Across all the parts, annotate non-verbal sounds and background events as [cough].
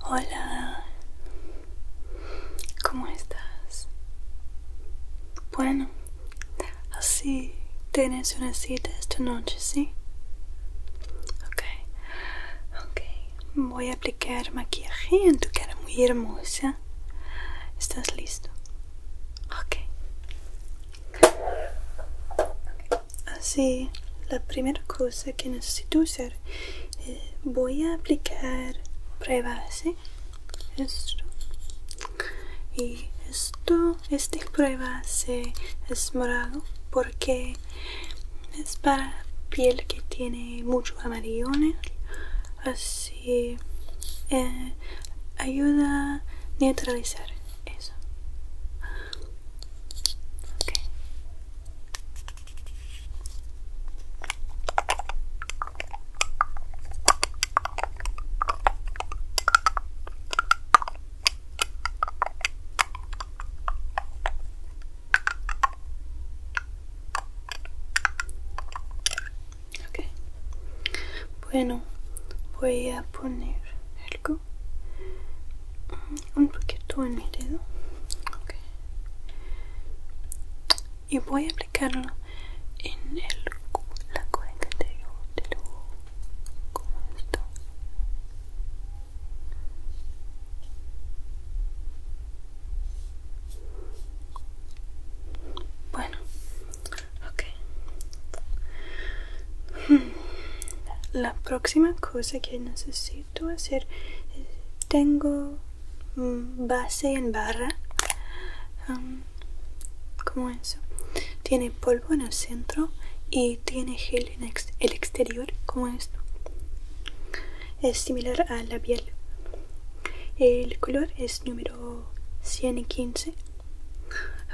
Hola, ¿cómo estás? Bueno, así tienes una cita esta noche, ¿sí? Ok, ok, voy a aplicar maquillaje en tu cara muy hermosa. ¿Estás listo? Ok, Así, la primera cosa que necesito hacer, eh, voy a aplicar prebase, esto, y esto, este prebase eh, es morado porque es para piel que tiene mucho amarillo Así y eh, ayuda a neutralizar eso Okay. bueno voy a poner algo mm, un poquito en mi dedo okay. y voy a aplicarlo en el, la cuenca del ojo como esto bueno Ok. Hmm. La próxima cosa que necesito hacer tengo mm, base en barra como eso tiene polvo en el centro y tiene gel en el exterior como esto es similar a la piel el color es número y 115.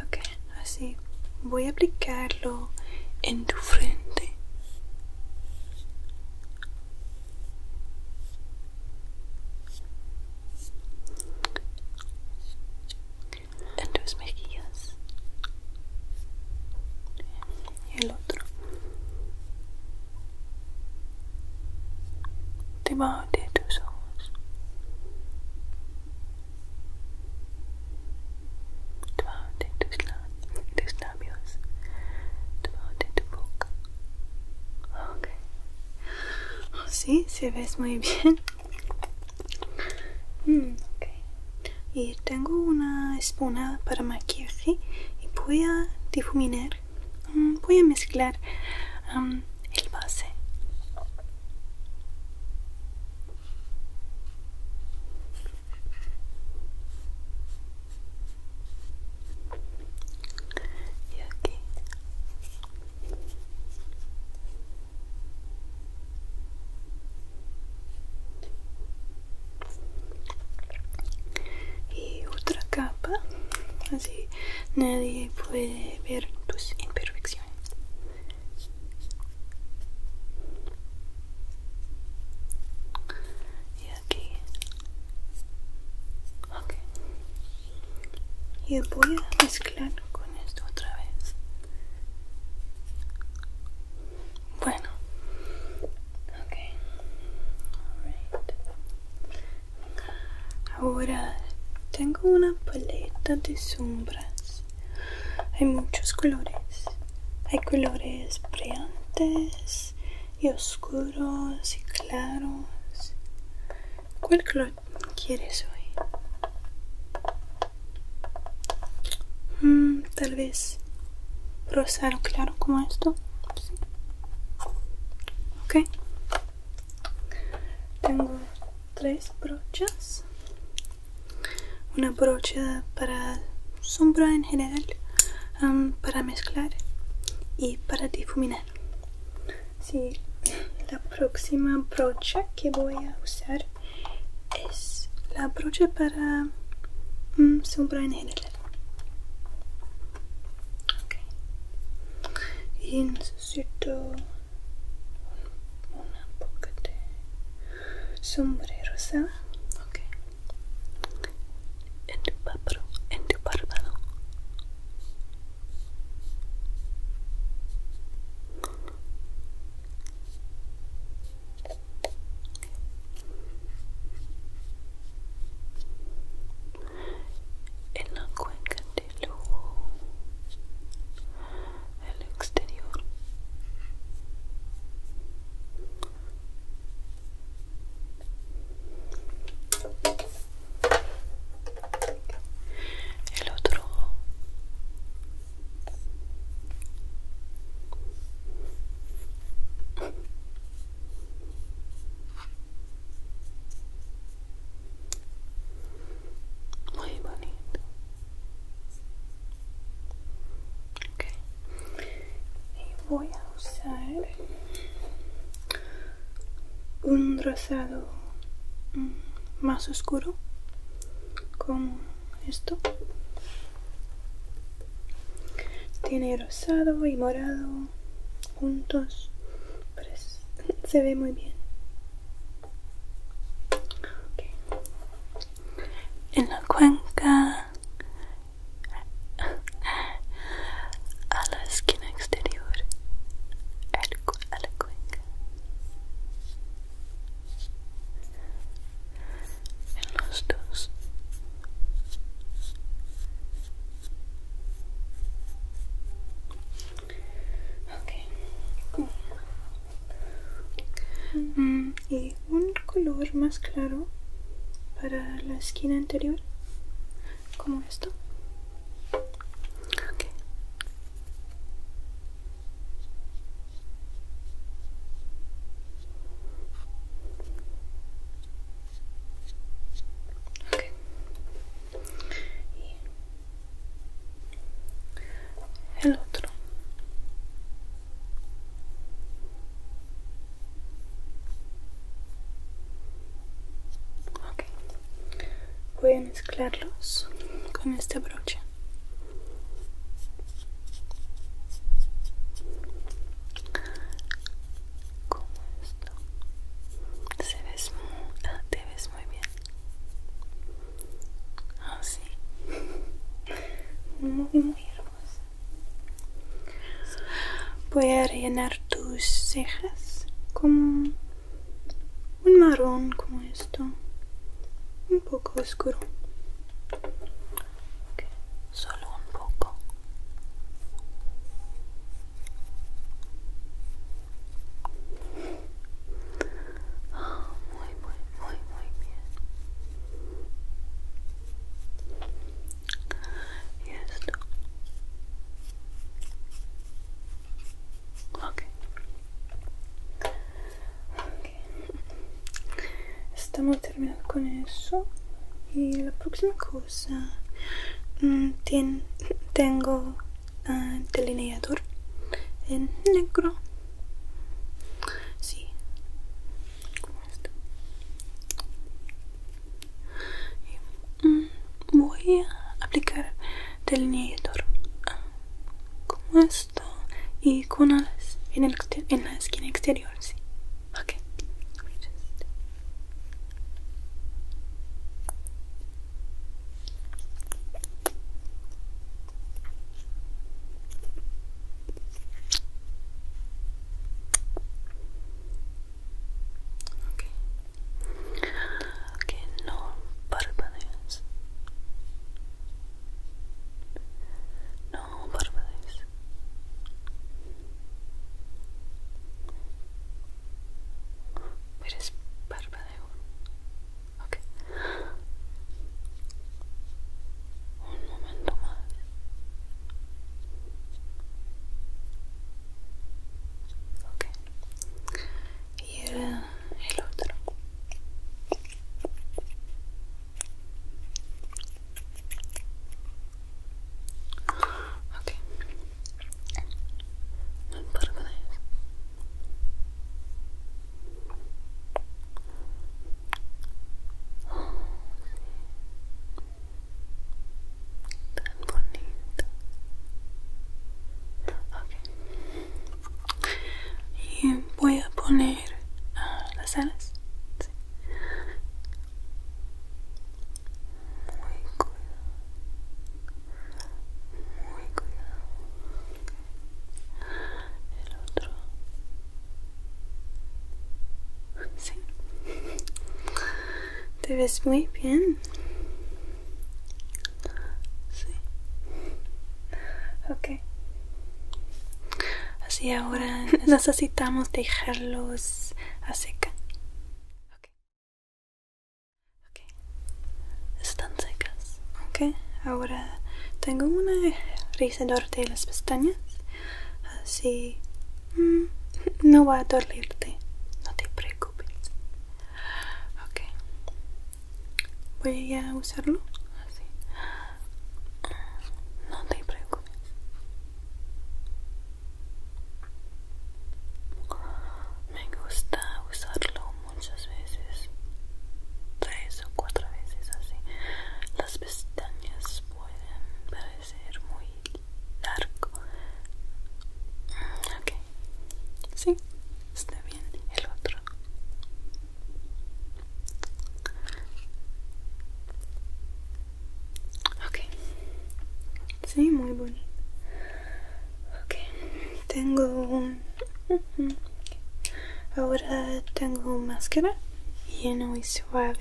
Ok, así. Voy a aplicarlo en tu frente. En tus mejillas. Y el otro. Debajo tus ojos. Debajo de tus, labios. Debajo de tu boca. Ok. Así se ves muy bien. [laughs] Mm, okay. Y tengo una espuma para maquillaje y voy a difuminar Mm, voy a mezclar el base y y otra capa así nadie puede ver tus imperfecciones y aquí ok y voy a mezclar con esto otra vez bueno ok Ahora tengo una paleta de sombras. Hay muchos colores. Hay colores brillantes y oscuros y claros. ¿Cuál color quieres hoy? Mm, tal vez rosado claro como esto ok tengo tres brochas una brocha para sombra en general um, para mezclar y para difuminar sí, la próxima brocha que voy a usar es la brocha para mm, sombra en general Okay. Y necesito una boca de sombrero, En tu en tu párpado en la cuenca del el exterior. El otro muy bonito. Okay. Y voy a usar un rosado mm, más oscuro con esto tiene rosado y morado juntos. pero [laughs] se ve muy bien. En la cuenca, a la esquina exterior, a la cuenca en los dos okay. Mm, y un color más claro para la esquina anterior como esto Okay. Y el otro. Okay. Voy a mezclarlos con este broche como esto se ves muy, ah, te ves muy bien así ah, muy hermosa voy a rellenar tus cejas con un marrón como esto un poco oscuro solo un poco ah, muy muy muy muy bien y esto ok estamos terminando con eso y la próxima cosa mm, tengo ah, delineador en negro sí como esto y, voy a aplicar delineador como esto y con las en, el, en la esquina exterior, sí. Ok, Okay. no parpadeas. No, barba parpadees. Eres parpadeo. Ok. Un momento más. Ok. Y el otro. Okay. And put them in Oh, sí. Tan Okay. y voy a poner ah, las alas sí. muy cuidado muy cuidado el otro sí te ves muy bien Sí. Así ahora [laughs] necesitamos dejarlos a secar. Están secas. okay, Ahora tengo un rizador de las pestañas. Así mm, no va a dolerte. No te preocupes. okay voy a usarlo así ah, no te preocupes me gusta usarlo muchas veces tres o cuatro veces así las pestañas pueden parecer muy largo mm, Sí, está bien. El otro. Ok. Sí, muy bonito. Ok. Tengo un... Ahora tengo máscara lleno y suave.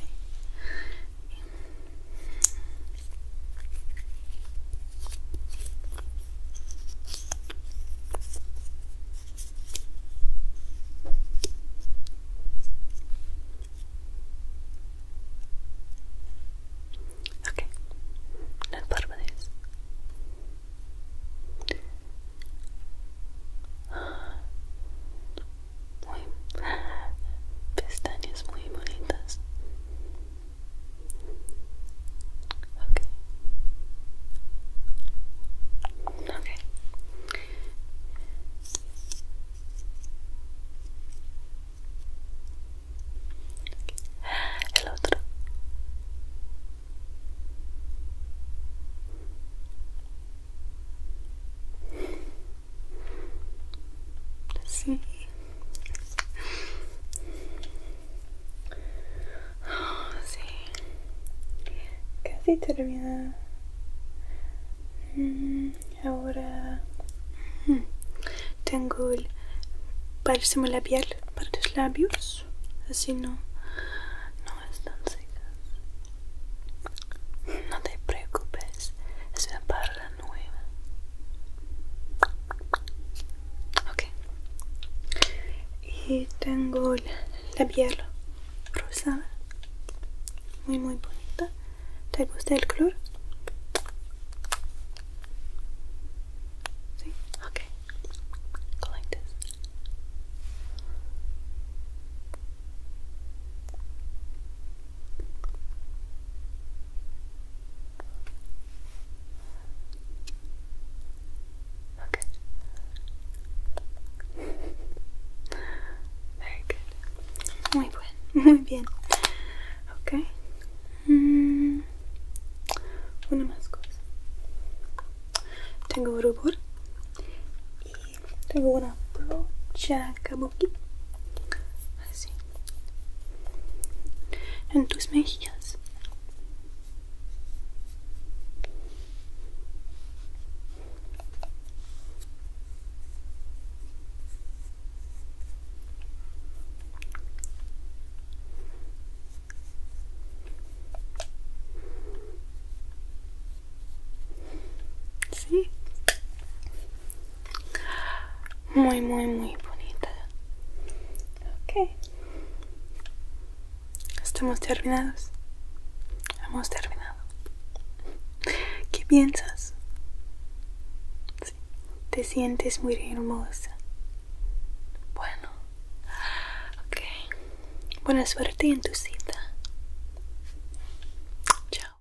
Okay, las palabras? Muy pestañas muy bonitas Okay. Okay. El otro. Sí. Ah, Casi termina. Mm, ahora mm, tengo el pálsamo labial para tus labios. Así no, no están secas. No te preocupes, va a parar nueva. Ok. Y tengo la, piel rosada. Muy, muy bonita. ¿Te gusta el color? Sí, ok. Okay. Very Muy bien, muy bien. Okay. Mm. Una más cosa. Tengo rubor y tengo una brocha kabuki. Así en tus mejillas Sí, muy muy muy bonita ok estamos terminados hemos terminado ¿qué piensas? te sientes muy hermosa bueno buena suerte en tu cita Chao